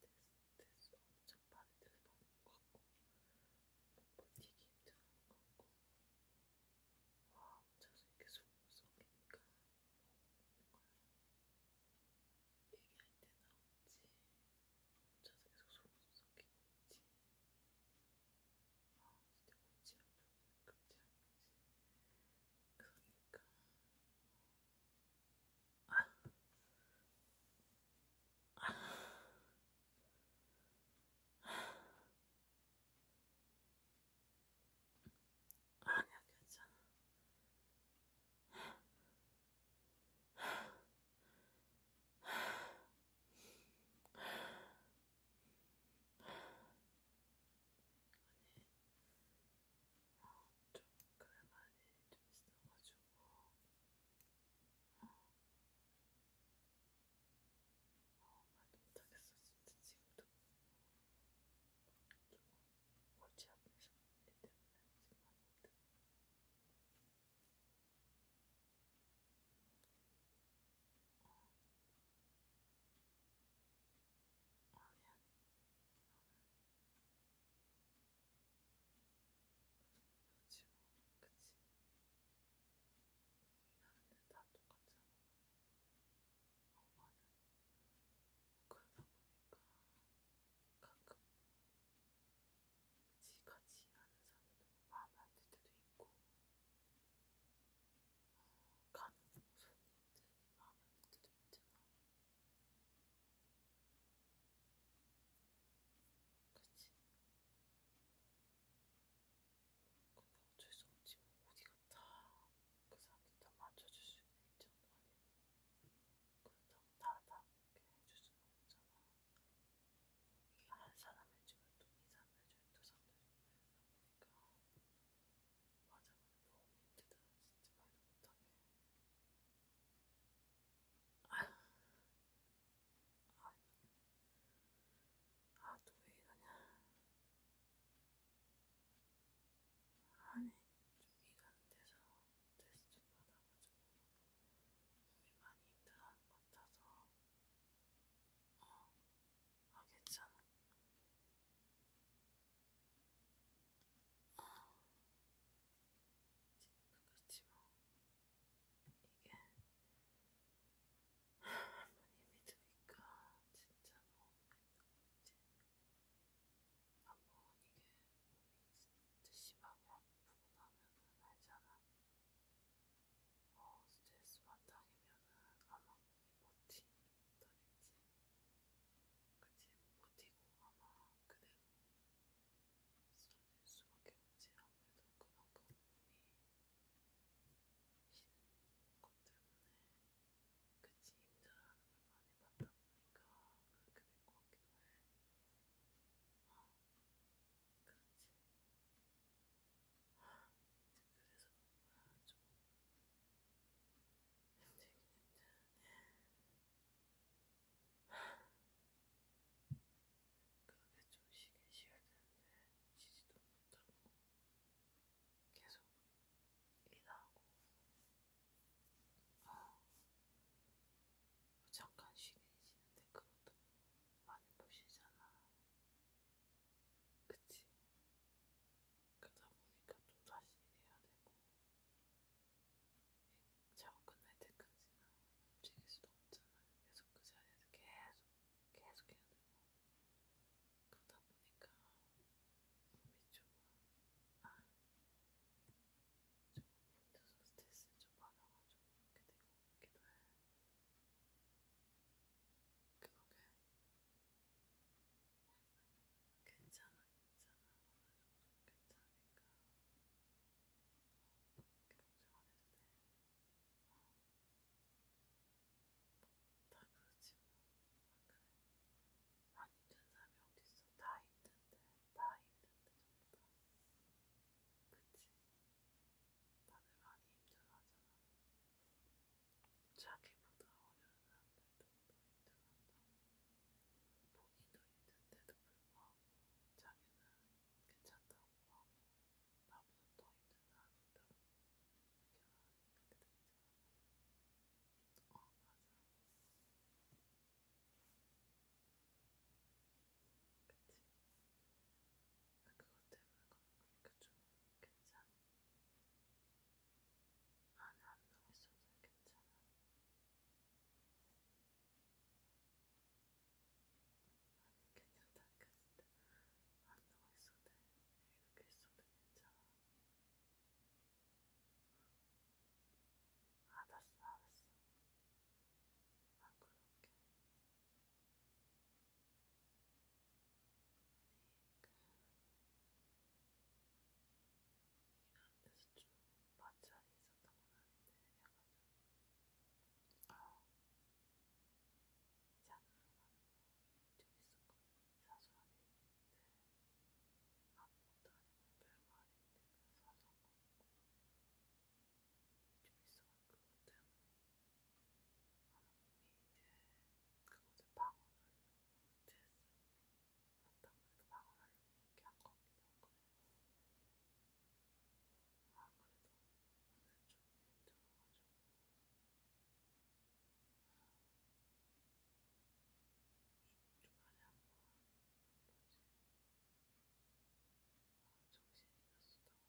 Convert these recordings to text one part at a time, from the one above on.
스트레스 엄청 많이 되게 받는 것 같고 버티기 힘들어하는 것 같고 와 혼자서 이렇게 속을 썩이니까 먹는 거야 얘기할 때 나오지 혼자서 계속 속을 썩이고 있지 아 진짜 골치 아프네 골치 아프지 그러니까 어, 아니야 괜찮아. 아니 어, 좀 그만이 좀 있어가지고 어, 어, 말 못하겠어 진짜 지금도 조금 골치 아프신 일 때문에 지금 말 못해 어. 아 미안해. 그렇지 뭐, 그치. 일하는데 다 똑같잖아. 어 맞아. 그러다 보니까 가끔 그치 같이 일하는 사람도 마음에 안들 때도 있고. 간혹 손이 굉장히 마음에 안 때도 있잖아. 그치? 근데 어쩔 수 없지 뭐 어디 갔다 그 사람들 다 맞춰줄 수 있는 입장도 아니고 그렇다고 다다 이렇게 해줄 수는 없잖아. 이게 한 사람 해주면 또 이 사람 해주면 두 사람 해주면 이러다 보니까 맞아, 맞아. 너무 힘들다. 진짜 말도 못하게. 아, 아, 아, 또 왜 이러냐. 아니, 좀 일하는 데서 테스트 받아가지고 몸이 많이 힘들어하는 것 같아서. 어, 아, 괜찮아. 어, 그렇지 뭐 이게 한번 힘이 드니까 진짜 너무 힘들지 한번 이게 몸이 진짜 심하게 아프고 나면은 알잖아. 어, 스트레스 만땅이면은 아마 버티지 못하겠지. 그치, 못 버티고 아마 그대로 쏟아질 수밖에 없지. 아무래도 그만큼 몸이 쉬는 것 때문에 그치, 힘들어하는 걸 많이 봤다 보니까 그렇게 된것 같기도 해. 어, 그렇지. 아, 그래서 그런가 좀 힘들긴 힘드는데 그게 좀 쉬긴 쉬어야 되는데 쉬지도 못하고 계속 일하고 아, 뭐 잠깐 쉬긴 쉬는데 그것도 많이 보시잖아 그치? 그러다 보니까 또 다시 일해야 되고 작업 끝날 때까지는 움직일 수도 없잖아요. 계속 그 자리에서 계속 계속 해야 되고 그러다 보니까 몸이 조금 아, 조금 힘들어서 스트레스 좀 받아가지고 이렇게 되고 있기도 해. 그러게 괜찮아, 괜찮아. 어느 정도 괜찮으니까. 어, 걱정 안 해도 돼. 어. 다 그렇지 뭐. 안 그래? 안 힘든 사람이 어딨어. 다 힘든데. 다 힘든데 전부 다. 그치? 다들 많이 힘들어하잖아. 자기보다 어려운 사람들도 더 힘들어한다고 본인도 힘든데도 불구하고 자기는 괜찮다고 하고 나보다 더 힘든 사람 있다고 이렇게 말하니 그때 되잖아 어 맞아 그치? 아, 그것 때문에 그런 거니까 좀 괜찮아 안에 아, 안 녹았어서 괜찮아. 아니 괜찮다니까 진짜 안 녹았어도 이렇게 있어도 괜찮아. 알았어 알았어. 안 그럴게. 이런 데서 좀 마찰이 있었던 건 아닌데 약간 좀 어, 장난이 좀 있었거든 사소한 일인데 아무것도 아니고 별거 아닌데 그냥 사소한 거고 일이 좀 있어가지고 그것 때문에 그곳을 방언하려고 스트레스 받다보니까 방언하려고 이렇게 한 겁니다. 안 그래도 오늘 좀 힘들어가지고 중간에 한번 한 번씩 정신이 났었다고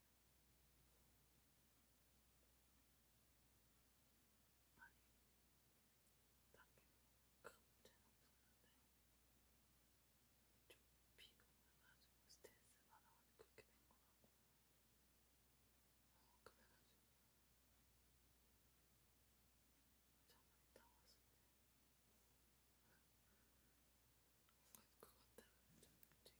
아니, 딱히 뭐 문제는 없었는데 좀 비공해가지고 스트레스 받아가지고 그렇게 된 거라고 어, 그래가지고 잠깐 있다가 왔을 때 그것 때문에 좀 움직이네.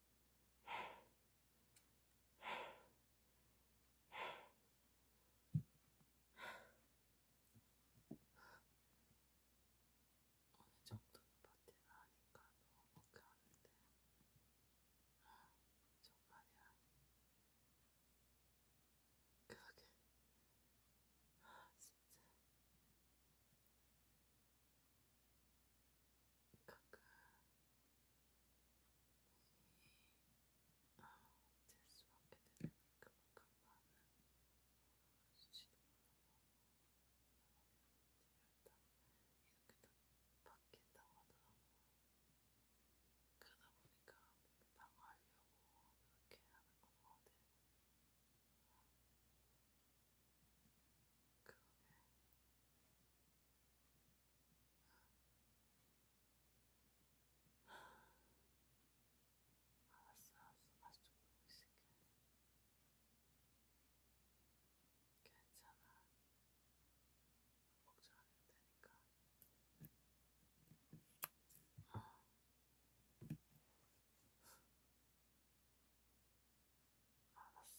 어느 정도는 버티나 하니까 너무 가는데 정말이야. 그러게. 아, 진짜. 가까 몸이 아될 수밖에 되는 그만큼 많은 수치도 올라가고 이렇게 다 바뀐다고 하더라고 그러다 보니까 방어하려고 그렇게 하는 것 같아. 그거는 알았어, 알았어. 다시 좀 보고 있을게. 괜찮아. 걱정 안 해도 되니까. 어. 알았어.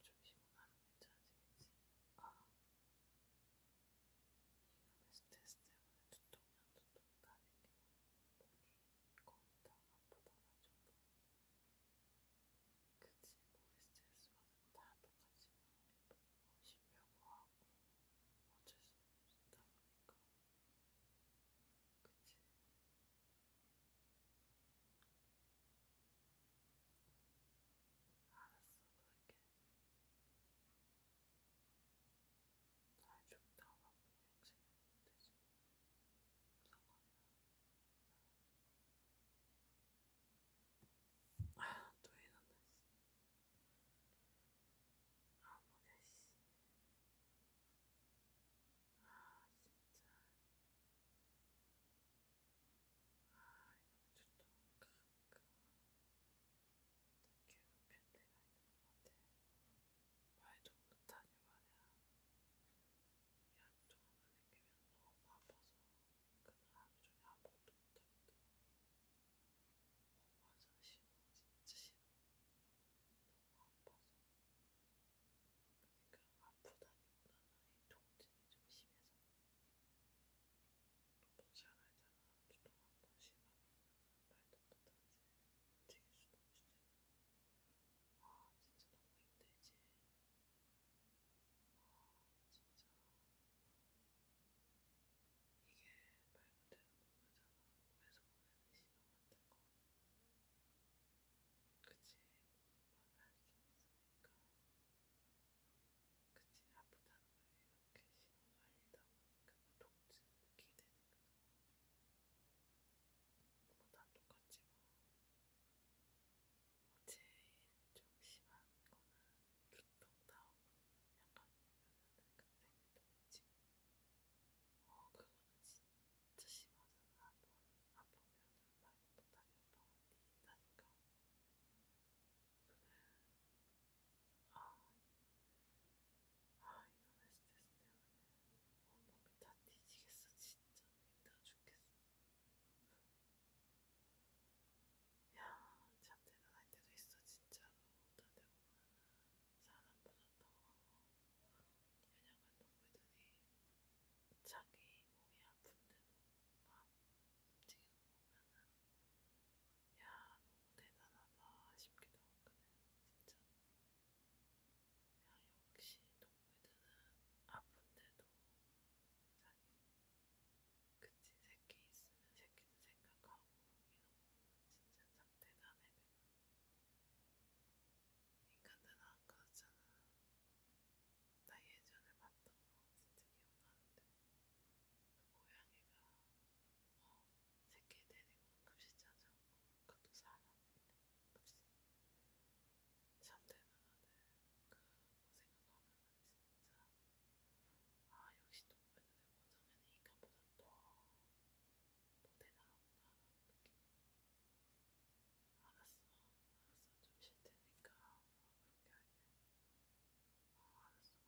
좀 쉬고 나면 괜찮아지겠지? 아, 이놈의 스트레스 때문에 두통이 안 두통이 다 생기고 몸이 거의 다 아프다 나중도 그치, 몸이 스트레스 받으면 다 똑같이 뭐, 뭐 쉬려고 하고 어쩔 수 없다 보니까 그치? 알았어, 그럴게. 날좀 담아보고 양식이면 되지. 상관이야. 아, 또 이런다, 씨. 아, 뭐야, 씨. 아, 진짜. 여기도 가끔 괴롭힐 때가 있는 것 같아. 말도 못하게 말이야. 약좀 하나 남기면 너무 아파서 그날 하루 종일 아무것도 못하겠다. 어, 맞아, 싫어. 진짜 싫어. 너무 아파서. 그러니까 아프다기보다는 이 통증이 좀 심해서 너잘 알잖아. 두통 한번 심하게 오면 말도 못하지. 움직일 수도 없이 아 진짜 너무 힘들지. 아 진짜 이게 말 그대로 그거잖아. 몸에서 보내는 신호 같은 거. 그치? 말할 뭐, 수 없어. 그러니까 그치 아프다는 걸 이렇게 신호를 알리다 보니까 통증을 느끼게 되는 거죠. 뭐다 똑같지만 뭐 제일 좀 심한 거는 두통 다운 약간 여자들 굉장히 통증. 어 그거는 진짜 심하잖아. 한번 아프면은 말 사인 못하면 오빠가 이긴다니까. 그래. 아, 아 이놈의 스트레스 때문에 온몸이 다 뒤지겠어. 진짜 힘들어 죽겠어. 야, 참 대단할 때도 있어. 진짜로. 어떤 데 보면은 사람보다 더 현역한 동물들이 자기 몸이 아픈데도 막 움직이는 거 보면은 야 너무 대단하다 싶기도 하거든 진짜 야 역시 동물들은 아픈데도 자기 그치 새끼 있으면 새끼도 생각하고 이런 거 진짜 참 대단해. 인간들은 안 그렇잖아. 나 예전에 봤던 거 진짜 기억나는데 그 고양이가 어, 새끼 데리고 급식 찾아온 거 그것도 사람 급식 참 대단하네. 그거 생각하면 진짜 아 역시 동물들의 모성애는 인간보다 더더 대단하구나 느낌. 알았어, 알았어. 좀 쉴 테니까 어, 그렇게 할게. 어, 알았어. 어,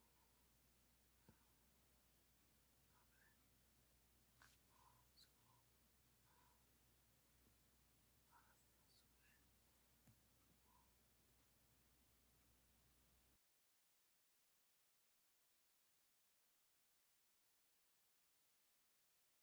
그래. 어, 수고. 어, 알았어, 수고해. 어.